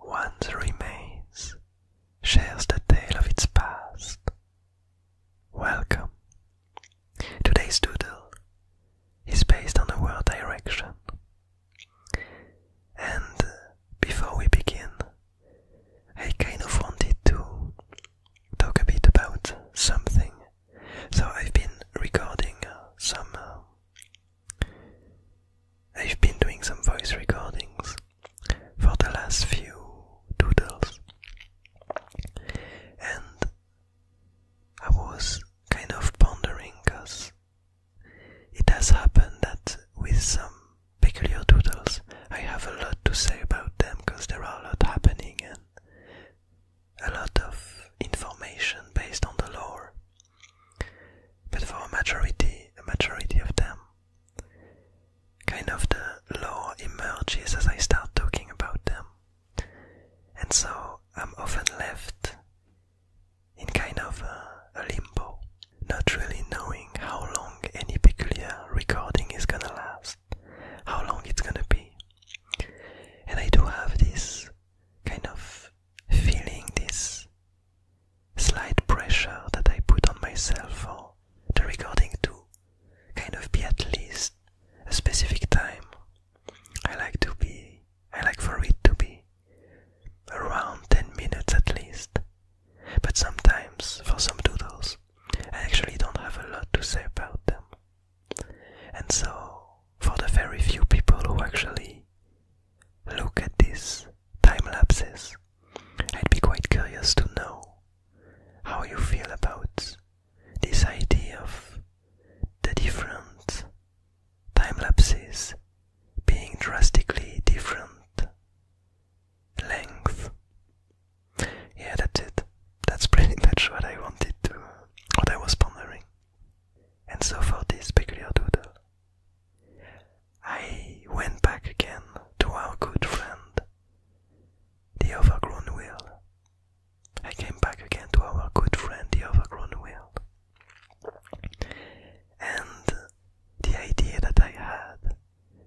One's remains shares the tale of its past. Welcome. Today's doodle is based on the word direction. And uh, before we begin, I kind of wanted to talk a bit about something. So I've been recording uh, some um, I've been doing some voice recordings for the last few doodles, and I was kind of pondering because it has happened that with some peculiar doodles, I have a lot to say about them because there are a lot happening and a lot of information based on the lore but for a majority, a majority of them, kind of the law emerges as I start talking about them. And so I'm often left in kind of a, a limbo, not really knowing how long any peculiar recording is gonna last, how long it's gonna be. And I do have this kind of feeling, this slight pressure that I put on myself for the recording to kind of be at least a specific time. I like to be, I like for it to be around 10 minutes at least. But sometimes, for some doodles, I actually don't have a lot to say about them. And so, for the very few people who actually Look at this time lapses. I'd be quite curious to know how you feel about this idea of the different time lapses being drastically different length. Yeah, that's it. That's pretty much what I wanted to, what I was pondering. And so for this peculiar doodle, I went back again to our good friend, the overgrown will. I came back again to our good friend, the overgrown wheel. And the idea that I had,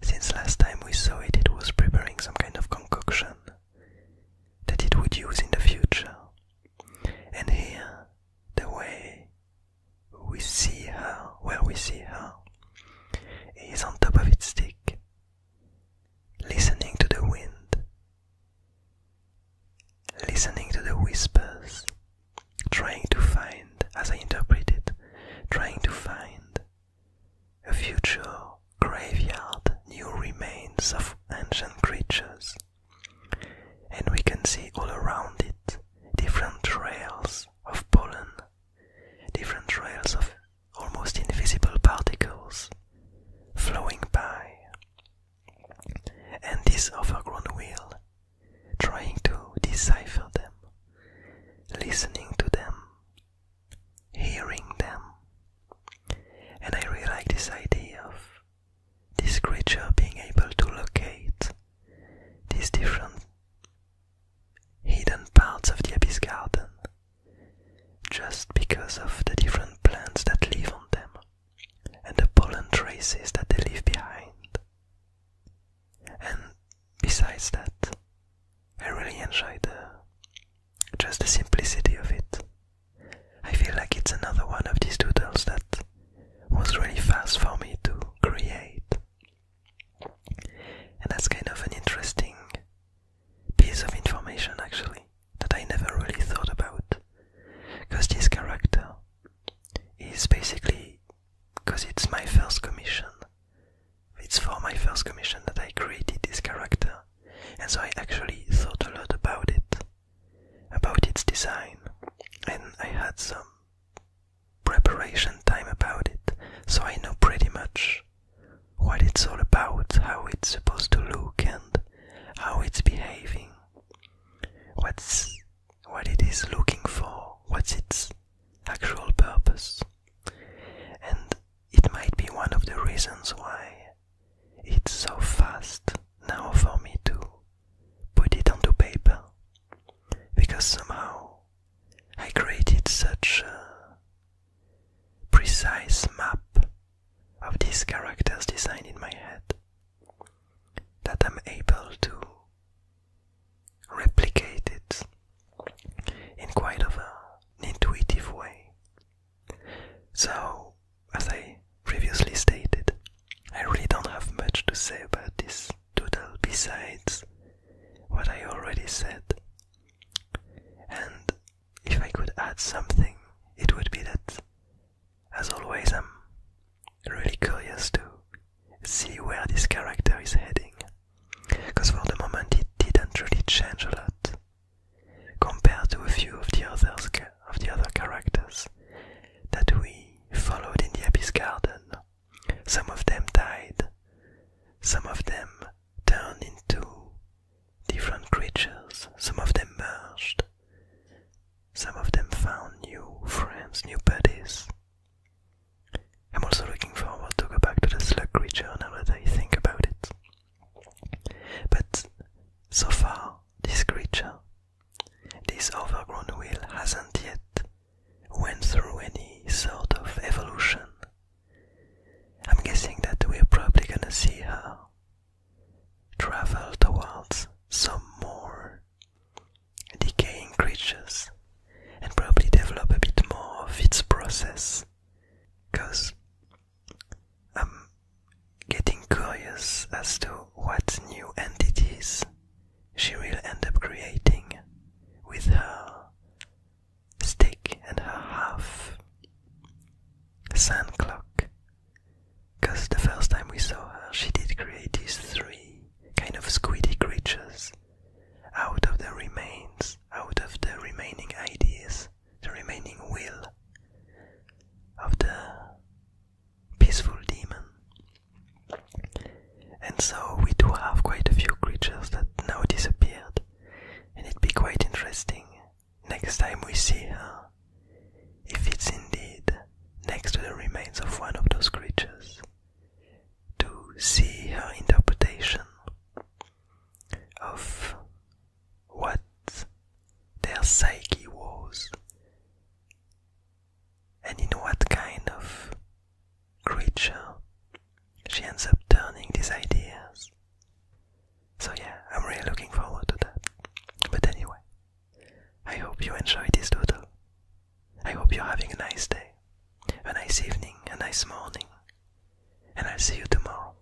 since last time we saw it, it was preparing some kind of concoction that it would use in the future. And here, the way we see her, where we see her, is on top of its stick, listening to the wind, listening to the whispers, trying to find, as I interpret it, trying to find a future graveyard, new remains of ancient creatures and we can see all around it different trails of pollen, different trails of almost invisible particles flowing by. And this overgrown wheel trying to decipher them, listening to them, hearing them. And I really like this idea of this creature being able to locate these different hidden parts of the abyss garden just because of the different plants that live on them and the pollen traces that they leave behind. And besides that, I really enjoy the just the simplicity of it. I feel like it's another one of these doodles that was really fast for me to create. And that's kind of an interesting piece of information actually that I never really thought about. Because this character is basically, because it's my first commission, it's for my first commission that I created this character. And so I actually thought a lot about it, about its design, and I had some preparation time about it, so I know pretty much what it's all about, how it's supposed to look, and how it's behaving, what's what it is looking for, what's its actual purpose, and it might be one of the reasons why it's so fast now for me to put it onto paper because somehow I created such a precise map of these characters' design in my head that I'm able to replicate it in quite of a, an intuitive way. So, as I previously stated, I really don't have much to say about this doodle besides what I already said. And if I could add something, it would be that, as always, I'm really curious to see where this character is heading. Because for the moment, it didn't really change a lot compared to a few of the others of the other characters that we followed in the abyss garden. Some of them died, some of them turned into different creatures, some of them merged, some of them found new friends, new buddies. I'm also looking forward to go back to the slug creature now that I think about it. But so far, this creature this overgrown wheel hasn't yet went through any sort of evolution. I'm guessing that we're probably gonna see her travel towards some more decaying creatures and probably develop a bit more of its process because I'm getting curious as to what new entities she will end up creating with her stick and her half sand clock. Because the first time we saw her, she did create these three kind of squiddy creatures out of the remains, out of the remaining ideas, the remaining will of the peaceful demon. And so we do have quite a few creatures that now disappeared, and it'd be quite interesting next time we see her if it's indeed next to the remains of one of those creatures to see her interpretation of what their psyche was and in what kind of creature she ends up turning these ideas. So, yeah, I'm really looking forward to that. But anyway, I hope you enjoyed this doodle. I hope you're having a nice day, a nice evening, a nice morning, and I'll see you tomorrow.